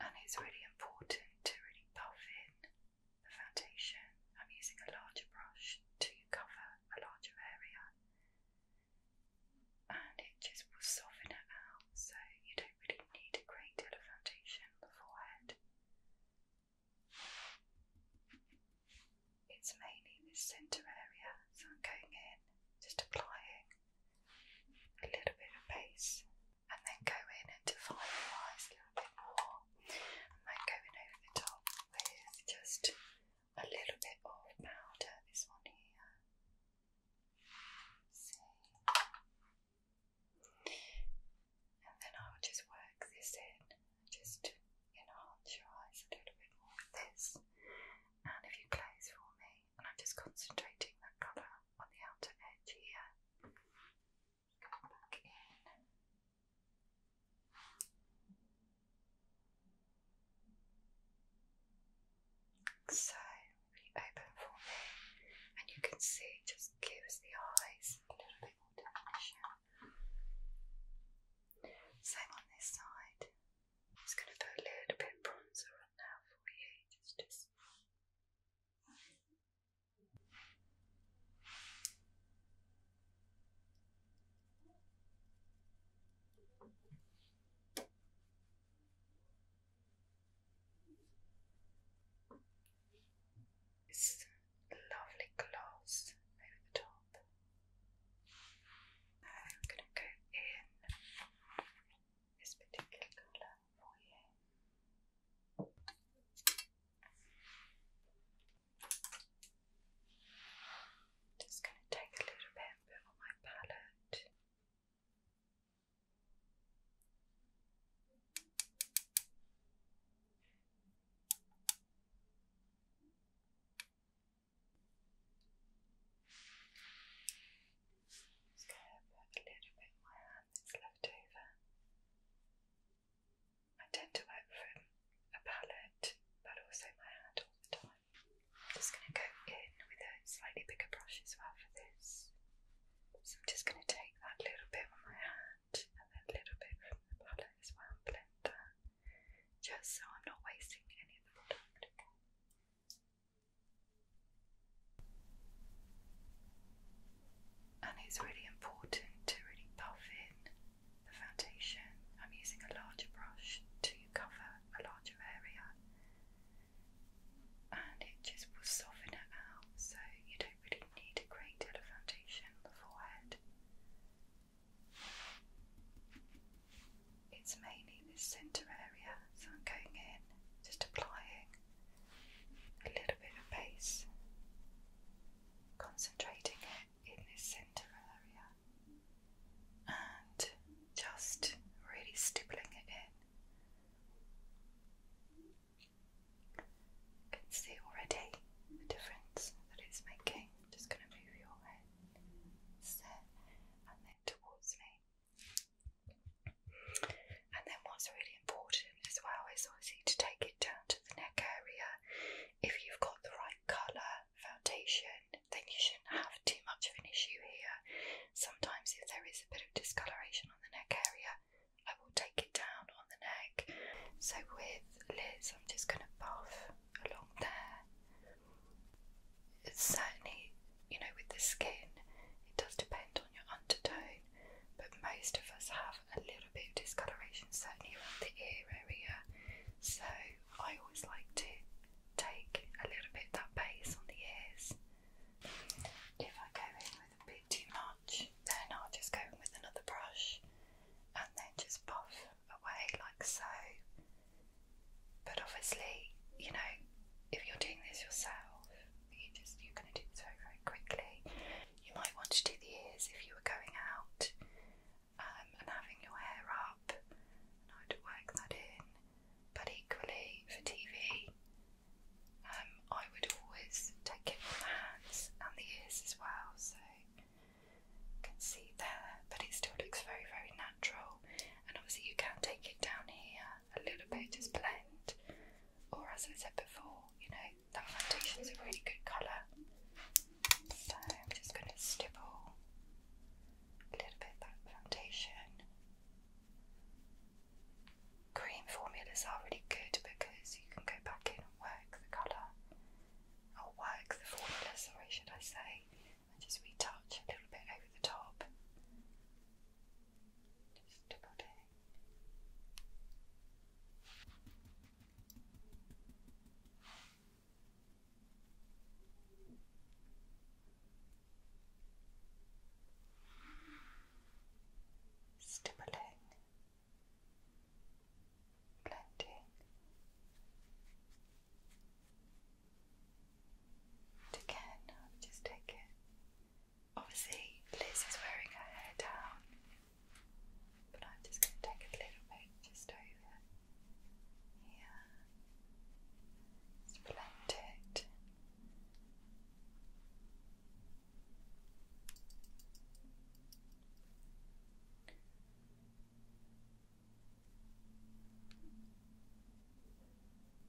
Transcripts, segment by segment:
And it's really important to really puff in the foundation. I'm using a larger brush to cover a larger area, and it just will soften it out so you don't really need a great deal of foundation on the forehead. It's mainly this centre area, so I'm going in, just applying a little bit of base, and then go in and define your eyes a little bit more, and then going over the top with just a little bit of powder. This one here, see, and then I will just work this in, just enhance your eyes a little bit more with this. And if you close for me, and I'm just concentrating that colour on the outer edge here. Come back in. So we open for me, and you can see it just gives the eyes a little bit more definition. Same on this side. It's gonna put a little bit bronzer on now for you. just it's lovely gloss over the top. I'm going to go in this particular colour for you. Just going to take a little bit on my palette. Just gonna put a little bit in my hand that's left over. I tend to work from a palette but also my hand all the time. I'm just gonna go in with a slightly bigger brush as well for this. So I'm just gonna take that little bit on my hand and then a little bit from the palette as well and blend that just so I'm not wasting any of the product. And it's really important to really puff in the foundation. I'm using a larger brush to cover a larger area, and it just will soften it out so you don't really need a great deal of foundation on the forehead. It's mainly this centre area, so I'm going in, just applying a little bit of base, concentrating it in this centre area, and just really stippling it in. can see already the difference that it's making just going to move your head set and then towards me. And then what's really important as well is obviously to take it down to the neck area. If you've got the right colour foundation, then you shouldn't have too much of an issue here. Sometimes if there is a bit of discoloration on the neck area, I will take it down on the neck. So with lids, I'm just going to buff along there. It's certainly, you know, with the skin, it does depend on your undertone, but most of us have a little bit of discoloration, certainly around the ear area. So I always like to take a little bit that base on the ears. If I go in with a bit too much, then I'll just go in with another brush and then just puff away like so. But obviously, you know, if you're doing this yourself, you just you're going to do this very very quickly. You might want to do the ears if you were going out um, and having your hair up, and I'd work that in. But equally for TV, um, I would always take it from the hands and the ears as well, so you can see there, but it still looks very, very natural. And obviously, you can take it down here a little bit, as blend, or as I said before, you know, that is a really good colour. So, I'm just going to stipple a little bit that foundation cream formulas are really good because you can go back in and work the colour, or work the formula, sorry, should I say, and just retouch a little bit over the top. Just double Stippling blending again I'll just take obviously Liz is wearing her hair down but I'm just going to take a little bit just over here just blend it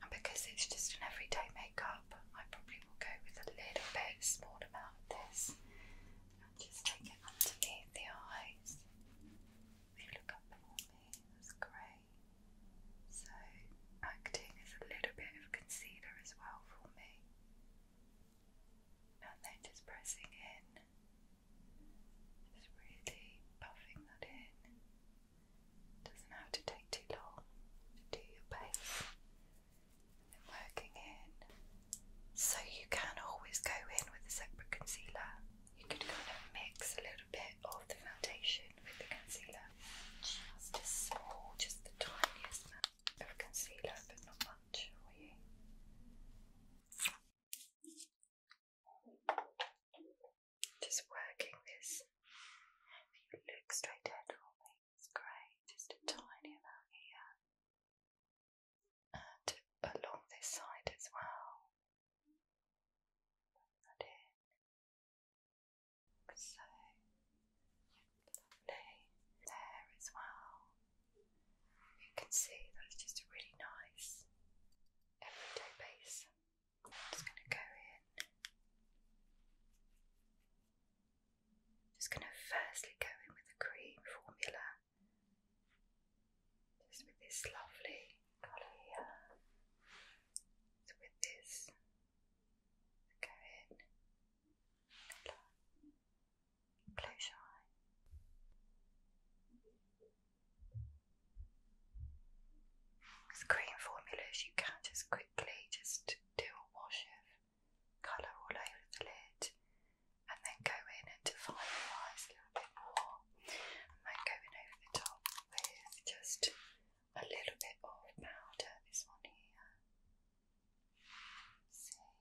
and because it's just an everyday makeup, I probably will go with a little bit, small amount of this and just take it underneath the eyes. They look up for me, that's great. So, acting as a little bit of concealer as well for me. And then just pressing in, just really puffing that in. Doesn't have to take too long to do your base. then working in. So you can always go in with a separate concealer. You could kind of mix a little bit of the foundation with the concealer. Just a small, just the tiniest amount of concealer, but not much for you. Just working this. If you look straight ahead for me, it's great. Just a tiny amount here. And along this side as well. Put that so lovely there as well. You can see that's just a really nice everyday base. just going to go in. Just going to firstly go in with the cream formula, just with this lovely colour with this Go in. Close your eye. With cream formulas, you can just quickly just do a wash of colour all over the lid, and then go in and define your eyes a little bit more, and then go in over the top with just a little bit of powder, this one here. See?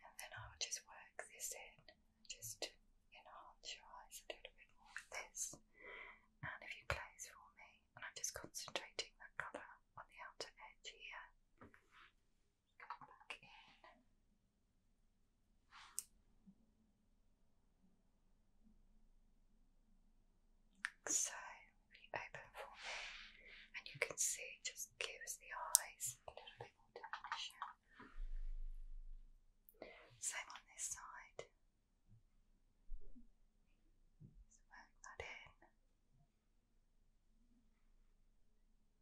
And then I'll just work this in, just to enhance your eyes a little bit more with this. And if you close for me, and I'm just concentrating that colour on the outer edge here. Come back in. So really open for me, and you can see it just gives the eyes a little bit more definition. Same on this side. Just work that in.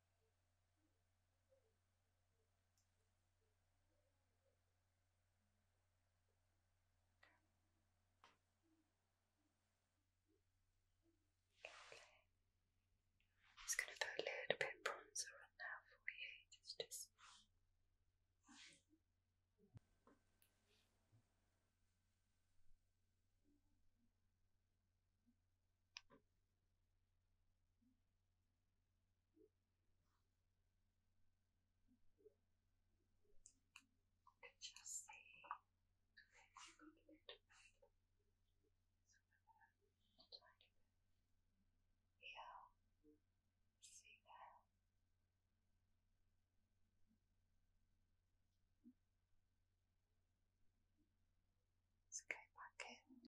Lovely. going to put a little bit bronzer on now for you. It's just and just say, yeah, see that. Let's go back in.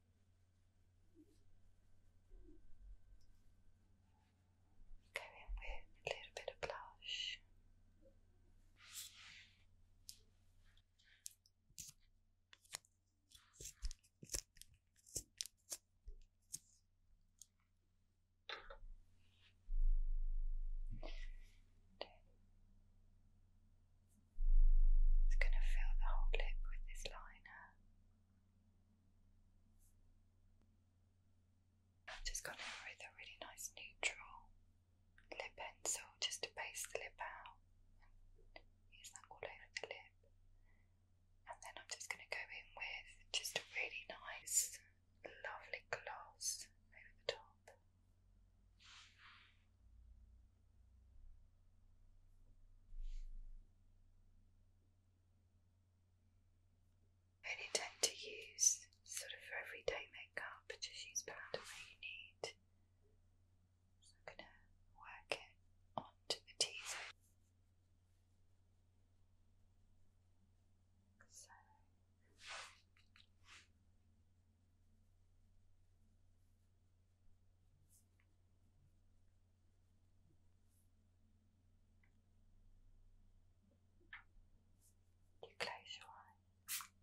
Go in with a little bit of blush. It's going to fill the whole lip with this liner. I've just gone in with a really nice neutral lip pencil just to base the lip out and use that all over the lip. And then I'm just going to go in with just a really nice, lovely gloss over the top only tend to use sort of for everyday makeup, just use powder where you need. I'm going to work it onto the t you close your eyes.